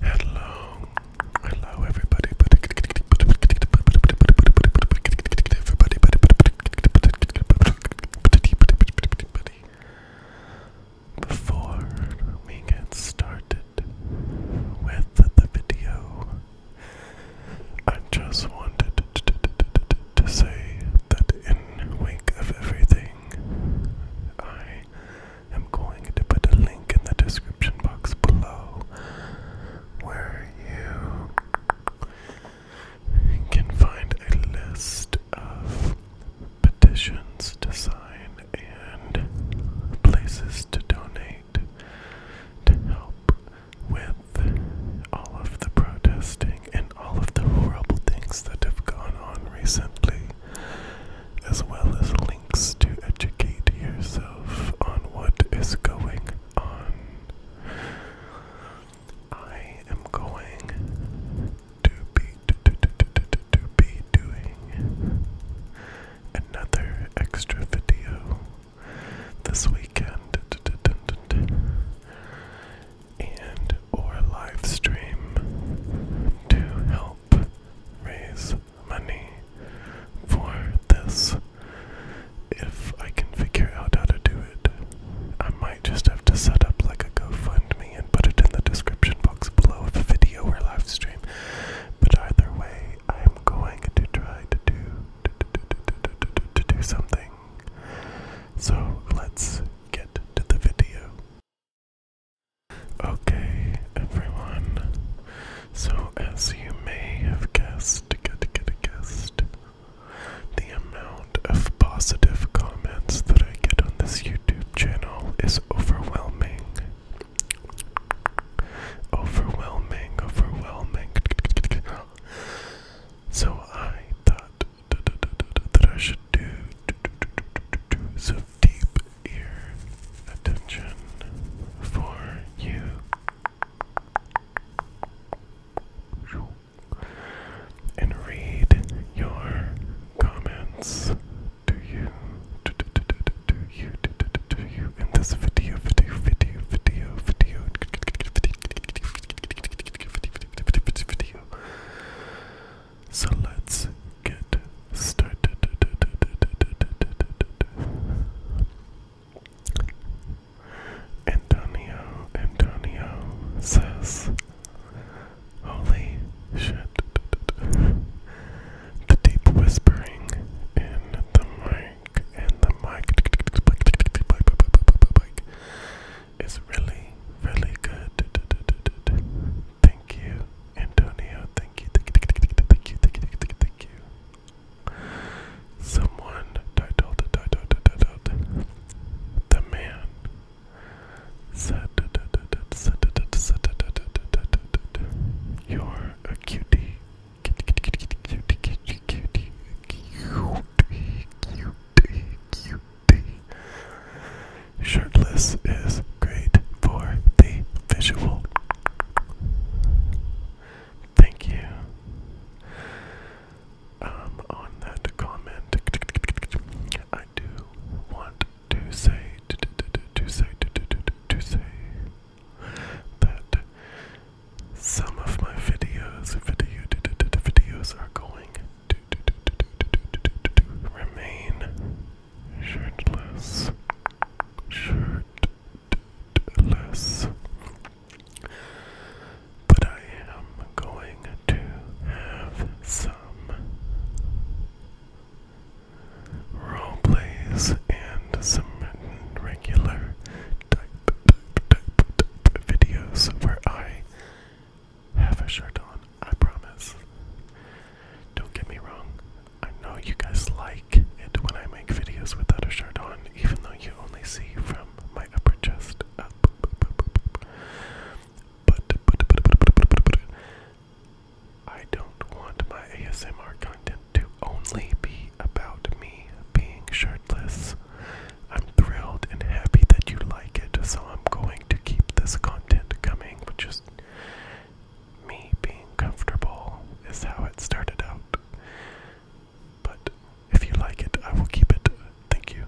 Hello, hello everybody. everybody. Before we get started with the video, I just wanted to say that in wake of everything, I i am going to put a link in the description box below where you can find a list of petitions to sign and places to donate to help with all of the protesting and all of the horrible things that have gone on recently as well as links to educate yourself on what is going on. I am going to be to, to, to, to, to, be doing another extra video this weekend and or live stream to help raise money for this. If I can figure out how to do it, I might just have to set up like a GoFundMe and put it in the description box below of the video or live stream. But either way, I'm going to try to do to do something. So let's get to the video. Okay, everyone. So, as you may have guessed, get, get, guessed, the amount of positive comments that I get on this YouTube channel is overwhelming. Overwhelming, overwhelming. So, I thought that I should do some deep ear attention for you. And read your comments. Do you, do, do, do, you, do, do, do, do you, video, video, video, video, video, video, video. So let's get Start. Antonio, Antonio says, Holy shit. The deep whispering in the mic, and the mic is really, really good. Thank you, Antonio, thank you, thank you, thank you, thank you, thank you, thank you. Someone titled, titled, titled, the man said, you're a cutie. Cutie, cutie, cutie, cutie, cutie, cutie, cutie. Shirtless is great for the visual. Thank you on that comment. I do want to say to, say to, say that some of my videos video, videos are going to remain shirtless, shirtless. But I am going to have some role plays and some regular type, type, type, type videos where I have a shirt on. I promise. Don't get me wrong, I know you guys like it when I make videos without a shirt on, even though you only see from my upper chest up. But, I don't want my ASMR content to only be about me being shirtless. I'm thrilled and happy that you like it, so I'm going to keep this content coming, which me being comfortable is how it started out. But if you like it, I will keep it. Thank you.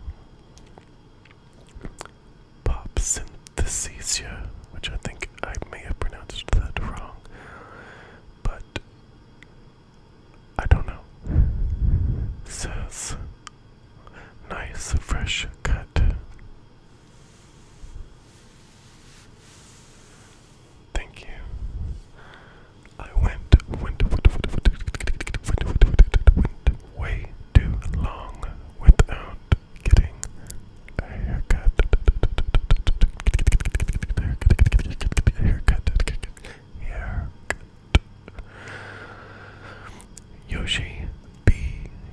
Pop Synthesia, which I think I may have pronounced that wrong, but I don't know. Says nice fresh cut. Thank you. I went, went, went, went, went, went, went, went way too long without getting a haircut. Haircut. Haircut. Haircut. Yoshi B.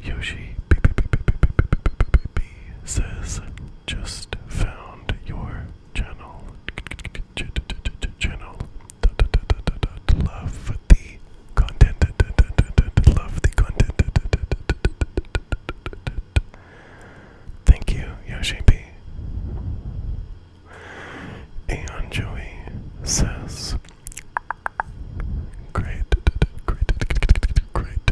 Yoshi B. B. B. B. B. B. B. B. P says, just found your channel. Channel. Love the content. Love the content. Thank you, Yoshi P. Joey says, Great, great, great,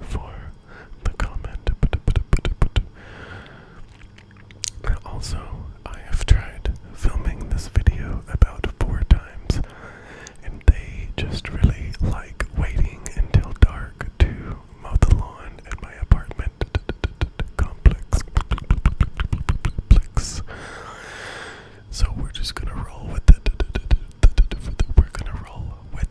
for the comment. Also, I have tried filming this video about four times, and they just really like waiting until dark to mow the lawn at my apartment complex. So we're just gonna roll with it. We're gonna roll with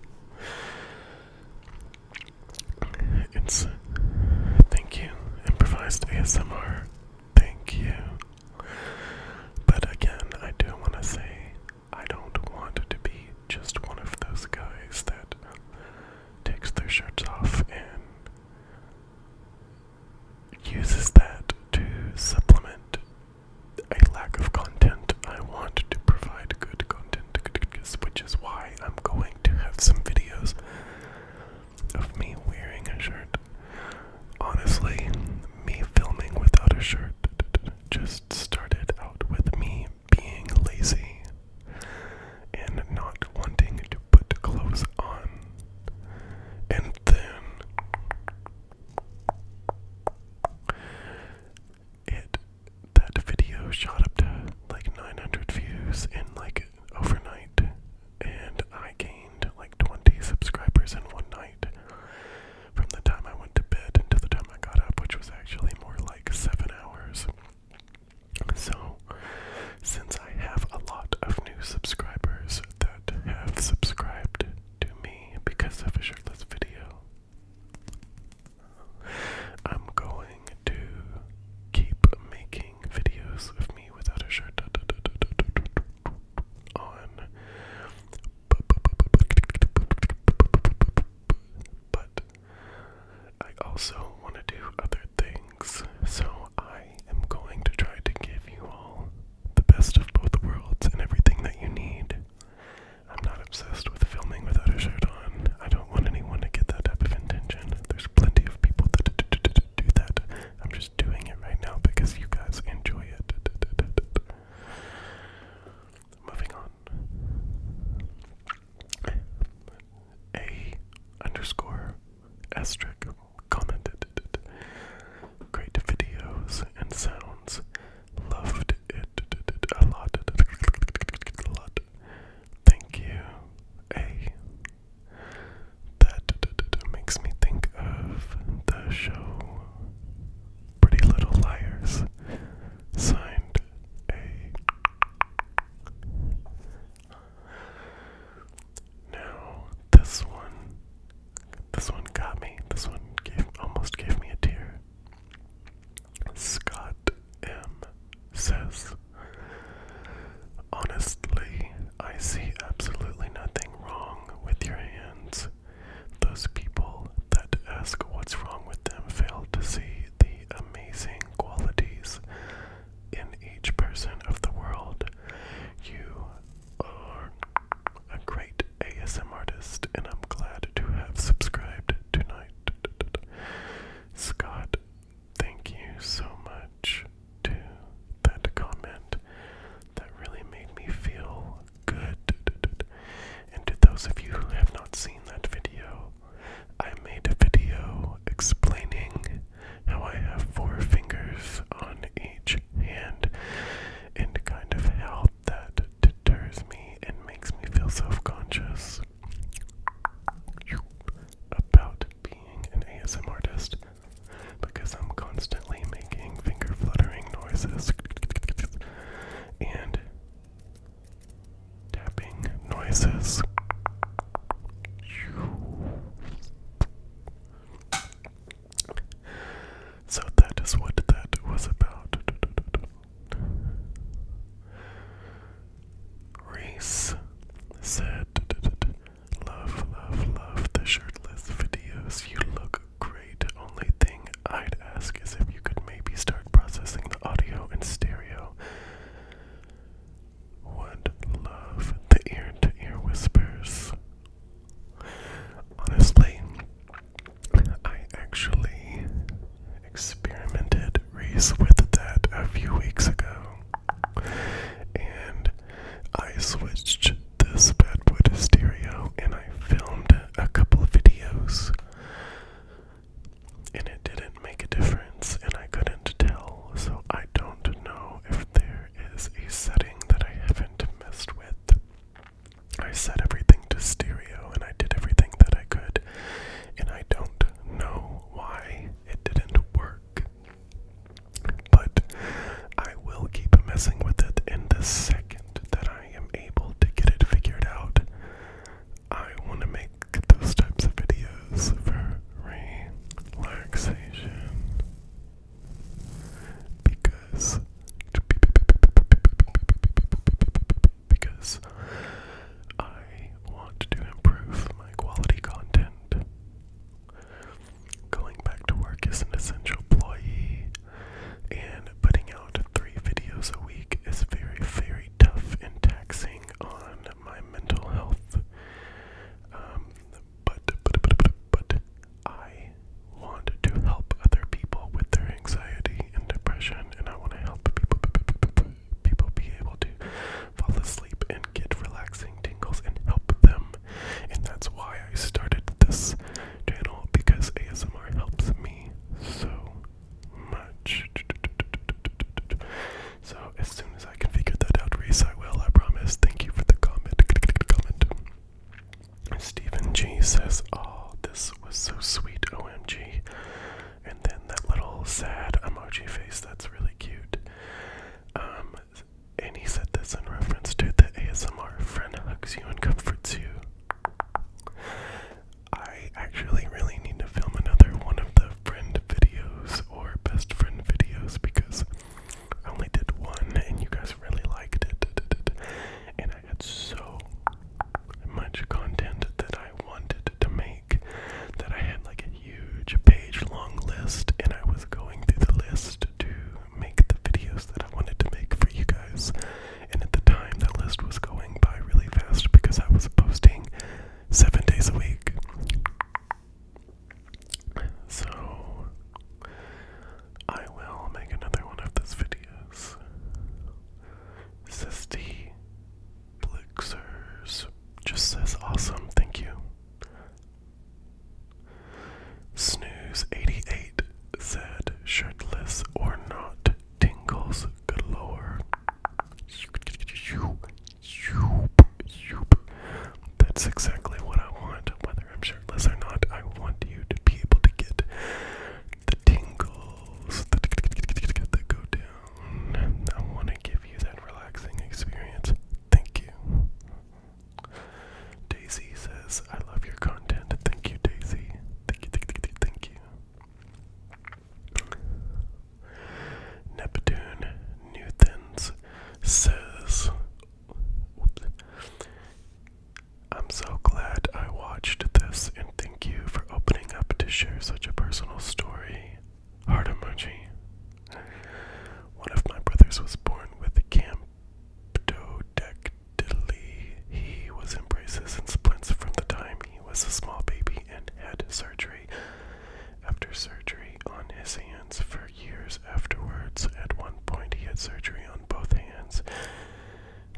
It's thank you, improvised ASMR. Thank you. But again, I do want to say I don't want to be just one of those guys that takes their shirts off and uses that to supplement a lack of content. I want to provide good content, which is why I'm going to have some videos of me wearing a shirt. Honestly, me filming without a shirt just started out with me being lazy and not wanting to put clothes on. And then it that video shot up to like 900 views in like overnight and I gained like 20 subscribers in one night from the time I went to bed until the time I got up, which was actually more like 7 hours. So, since I have a lot of new subscribers that have subscribed to me because of a shirtless video, I'm going to keep making videos of me without a shirt on. But I also want to do other things, so I am going to try to give you all the best of both worlds and everything that you need. I'm not obsessed with filming without a shirt on. I don't want anyone to get that type of intention. There's plenty of people that do that. I'm just doing it right now because you guys enjoy it. Moving on. A underscore asterisk commented. Great videos and sounds. Loved it a lot. Thank you. A. That makes me think of the show Pretty Little Liars. Signed A. Now, this one. This one got me. This one almost gave me a tear. Scott M says, Honestly, I see absolutely nothing wrong with your hands. Those people that ask what's wrong with them fail to see the amazing qualities in each person of the world. You are a great ASM artist, and I'm glad to have subscribed tonight. Scott, thank you so much to that comment. That really made me feel good. And to those of you who have not seen that video, I made a video explaining how I have four fingers on each hand and kind of how that deters me and makes me feel self conscious about being an ASM artist because I'm constantly making finger fluttering noises and tapping noises. So that is what that was about. Reese said, Love, love, love the shirtless videos. You look great. Only thing I'd ask is if you could maybe start processing the audio in stereo. Would love the ear to ear whispers. Honestly, I actually experimented with that a few weeks ago. And I switched this bad boy to stereo and I filmed a couple of videos. And it didn't make a difference and I couldn't tell. So I don't know if there is a setting that I haven't messed with. I set everything to stereo and I did everything that I could, and I don't know why it didn't work. But I will keep messing with it, and the second that I am able to get it figured out, I want to make those types of videos for relaxation. Because because I want to improve my quality content. Going back to work is an essential employee, and putting out three videos a week is very, very tough and taxing on my mental health. Um, but, but, but, but, but, I want to help other people with their anxiety and depression and, I want to help people, people be able to fall asleep and get relaxing tingles and help them. And that's why I started this channel because ASMR helps me so much. So as soon as I can figure that out, Reese, I will, I promise. Thank you for the comment. comment. Stephen G says, "All this face was so sweet, OMG. And then that little sad emoji face, that's really cute. Um, and he said this in reference to the ASMR friend hugs you and comforts you. I actually really need to film another one of the friend videos or best friend videos because I only did one and you guys really liked it. I had so much content that I wanted to make that I had like a huge page long list, and I was going through the list to make the videos that I wanted to make for you guys. And at the time, that list was going by really fast because I was posting seven days a week. So, I will make another one of those videos. Zesty Blixers just says awesome, thank you. Snooze88 said shirtless or not tingles galore. That's exactly what I want, whether I'm shirtless or not. I want you to be able to get the tingles that go down. I want to give you that relaxing experience. Thank you. Daisy says, I love your content. Thank you, Daisy. Thank you, thank you, thank you. Neptune Newtons says, oops, I'm so glad I watched this and thank you for opening up to share such a personal story. Heart emoji. One of my brothers was born with camptodactyly. He was in braces and splints from the time he was a small baby and had surgery after surgery on his hands for years afterwards. At one point, he had surgery on both hands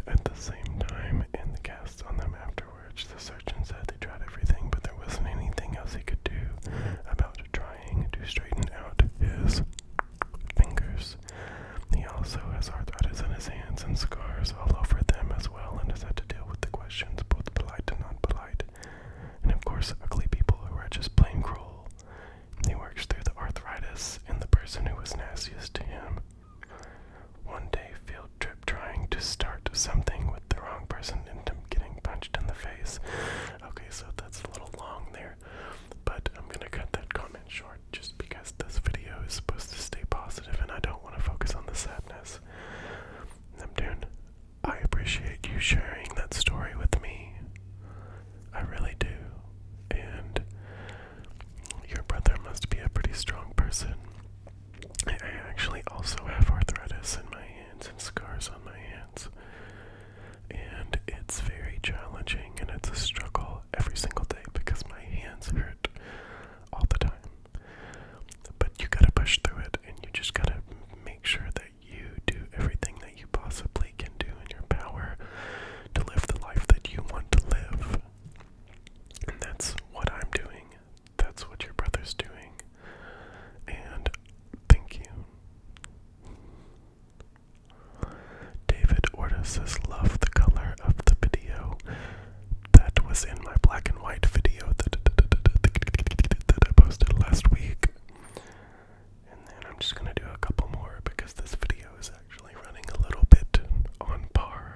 at the same time, and the cast on them afterwards, the surgeon said they tried everything, but there wasn't anything else he could do about trying to straighten out his fingers. He also has arthritis in his hands and scars all over them as well, and has had to deal with the questions, both polite and not polite, and of course, ugly people who are just plain cruel. He works through the arthritis and the person who was nastiest to him one day, field trip trying to start something with the wrong person and getting punched in the face. Okay, so that's a little long there, but I'm gonna cut that comment short just because this video is supposed to stay positive and I don't want to focus on the sadness. Neptune, I appreciate you sharing that story with me. I really do. And your brother must be a pretty strong person. I actually also have arthritis in my hands and scars on my hands. And it's very challenging and it's a struggle every single day because my hands hurt all the time. But you gotta push through it and you just gotta make sure that you do everything that you possibly can do in your power to live the life that you want to live. And that's what I'm doing. That's what your brother's doing. And thank you. David Orta says, Love the color of the video. That was in my black and white video that I posted last week. And then I'm just going to do a couple more because this video is actually running a little bit on par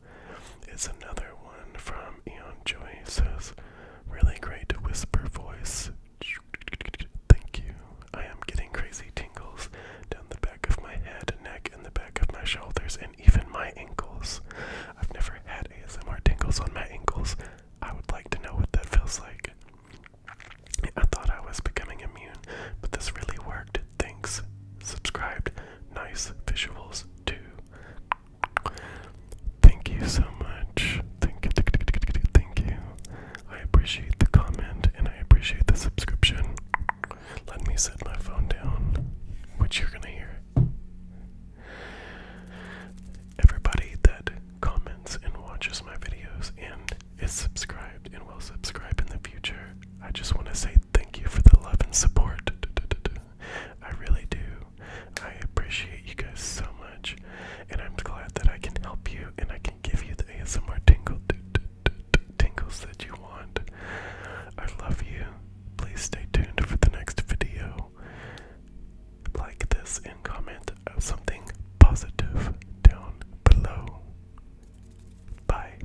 it's another one from Eon Joy. Says, really great whisper voice. Thank you. I am getting crazy tingles down the back of my head, neck, and the back of my shoulders, and even my ankles. I've never had ASMR tingles on my ankles. I would like to know what that feels like. I thought I was becoming immune, but this really worked. Thanks. Subscribed. Nice visuals, too. Thank you so much. Thank you. Thank you. I appreciate the comment and I appreciate the subscription. Let me set my phone down, which you're going to hear. Everybody that comments and watches my videos and is subscribed and will subscribe in the future, I just want to say thank you for the love and support. I really do. I appreciate you guys so much, and I'm glad that I can help you and I can give you the ASMR tingles that you want. I love you. Please stay tuned for the next video. Like this and comment something positive down below. Bye.